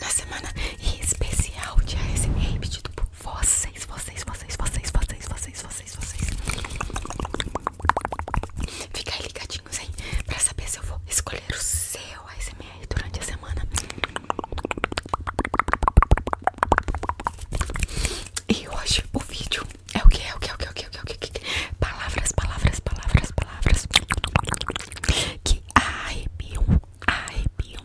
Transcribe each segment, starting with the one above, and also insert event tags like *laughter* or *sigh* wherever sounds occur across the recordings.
na semana especial de ASMR pedido por vocês, vocês, vocês, vocês, vocês, vocês, vocês, vocês. Fica aí ligadinhos hein pra saber se eu vou escolher o seu ASMR durante a semana. E hoje o vídeo é o que? É o que? É o que? É o que? É o que? É o que? Palavras, palavras, palavras, palavras que arrepiam, arrepiam,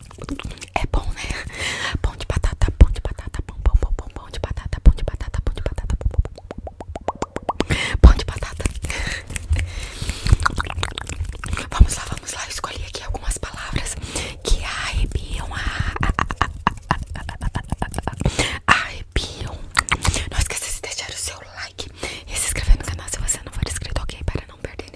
É bom, né? Pão de batata, pão de batata, pão, pão, pão, pão, de batata, pão de batata, pão de batata, pão, de batata. Vamos lá, vamos lá. Eu escolhi aqui algumas palavras que arrepiam, arrepiam. Não esqueça de deixar o seu like e se inscrever no canal se você não for inscrito, ok? Para não perder nenhum.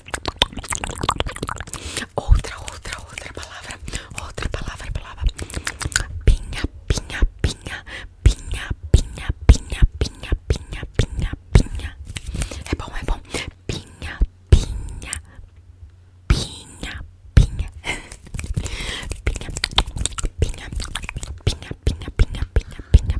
Outra, outra, outra palavra. Outra palavra, palavra. Pinha, pinha, pinha. Pinha, pinha, pinha, pinha, pinha, pinha, pinha. É bom, é bom. Pinha, pinha. Pinha, pinha. Pinha, pinha, pinha, pinha, pinha, pinha, pinha,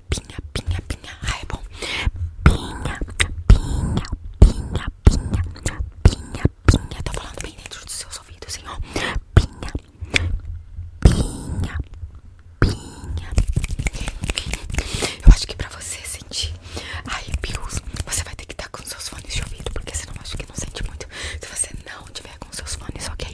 pinha, pinha, pinha. Ai, é bom. Pinha, pinha, pinha, pinha, pinha, pinha. Tá falando bem dentro dos seus ouvidos, hein, ó. Pinha, pinha, pinha. Eu acho que pra você sentir arrepios, você vai ter que estar tá com seus fones de ouvido, porque senão eu acho que não sente muito. Se você não tiver com seus fones, ok?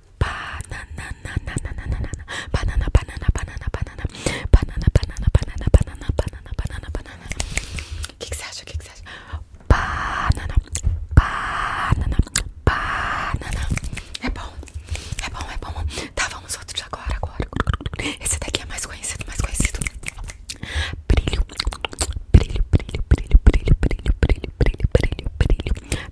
banana, banana, banana, banana, banana, banana, banana, banana, banana, banana, banana, banana, banana, que você acha? O que você Banana, banana, banana. É bom, é bom, é bom. Tá, vamos outros agora, agora. Esse daqui é mais conhecido, mais conhecido. Brilho, brilho, brilho, brilho, brilho, brilho, brilho, brilho, brilho, brilho,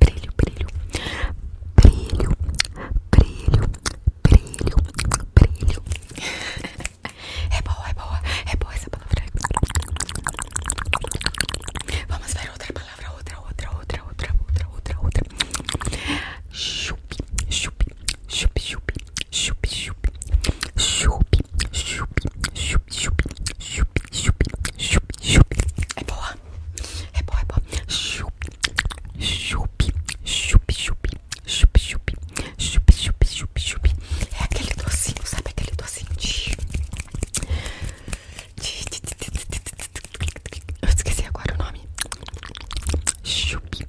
brilho, brilho, brilho, brilho, brilho, brilho. *laughs* É boa, é boa, é boa essa palavra. Vamos ver outra palavra, outra, outra, outra, outra, outra, outra, outra. Chup, chup, chup, chup, chup, chup, chup, chup, chup, chup, chup, chup, chup, chup. É boa, é boa, é boa. Chup, Chup, chup, chup, chup, chup, chup, chup, chup, É aquele docinho, sabe aquele docinho de... Eu esqueci agora o nome. Chup,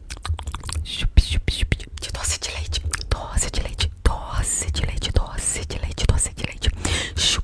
chup, chup, chup. De doce de leite, doce de leite, doce de leite, doce de leite, doce de leite. Chup.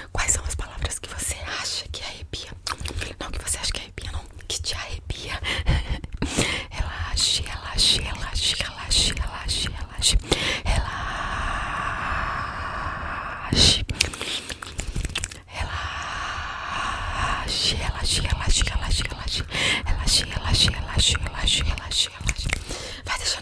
Quais são as palavras que você acha que arrepia? Não, que você acha que arrepia, não, que te arrepia. *laughs* relaxe, relaxe, relaxe, relaxe, relaxe, relaxe. Relaxe. Relaxe, relaxe, relaxe, relaxe, relaxe. Relaxe, relaxe, relaxe, relaxe, relaxe, relaxe. Vai deixar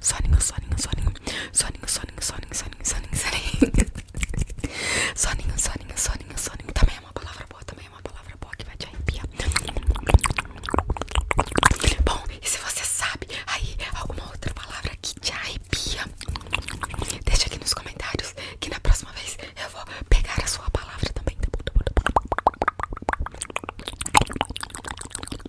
soninho, soninho, soninho, soninho, soninho, soninho, soninho, soninho, soninho, soninho, soninho, soninho, também é uma palavra boa, também é uma palavra boa que vai te arrepiar. Bom, e se você sabe aí alguma outra palavra que te arrepia, deixa aqui nos comentários que na próxima vez eu vou pegar a sua palavra também.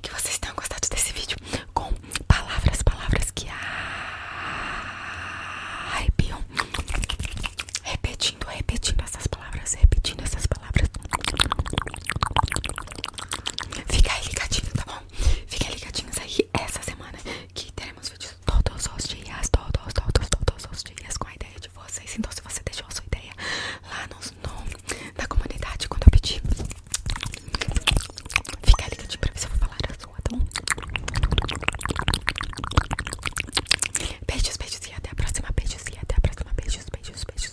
que vocês tenham gostado desse vídeo com palavras, palavras que arrepiam. Repetindo, repetindo essas palavras, repetindo essas palavras. Fica aí ligadinho, tá bom? Fica aí ligadinhos aí essa semana que teremos vídeos todos os dias, todos, todos, todos, todos os dias com a ideia de vocês. Então, se você deixou a sua ideia lá nos na comunidade quando eu pedir. Fica ligado pra ver se eu vou falar a sua, tá bom? Beijos, beijos e até a próxima. Beijos e até a próxima. Beijos, beijos, beijos.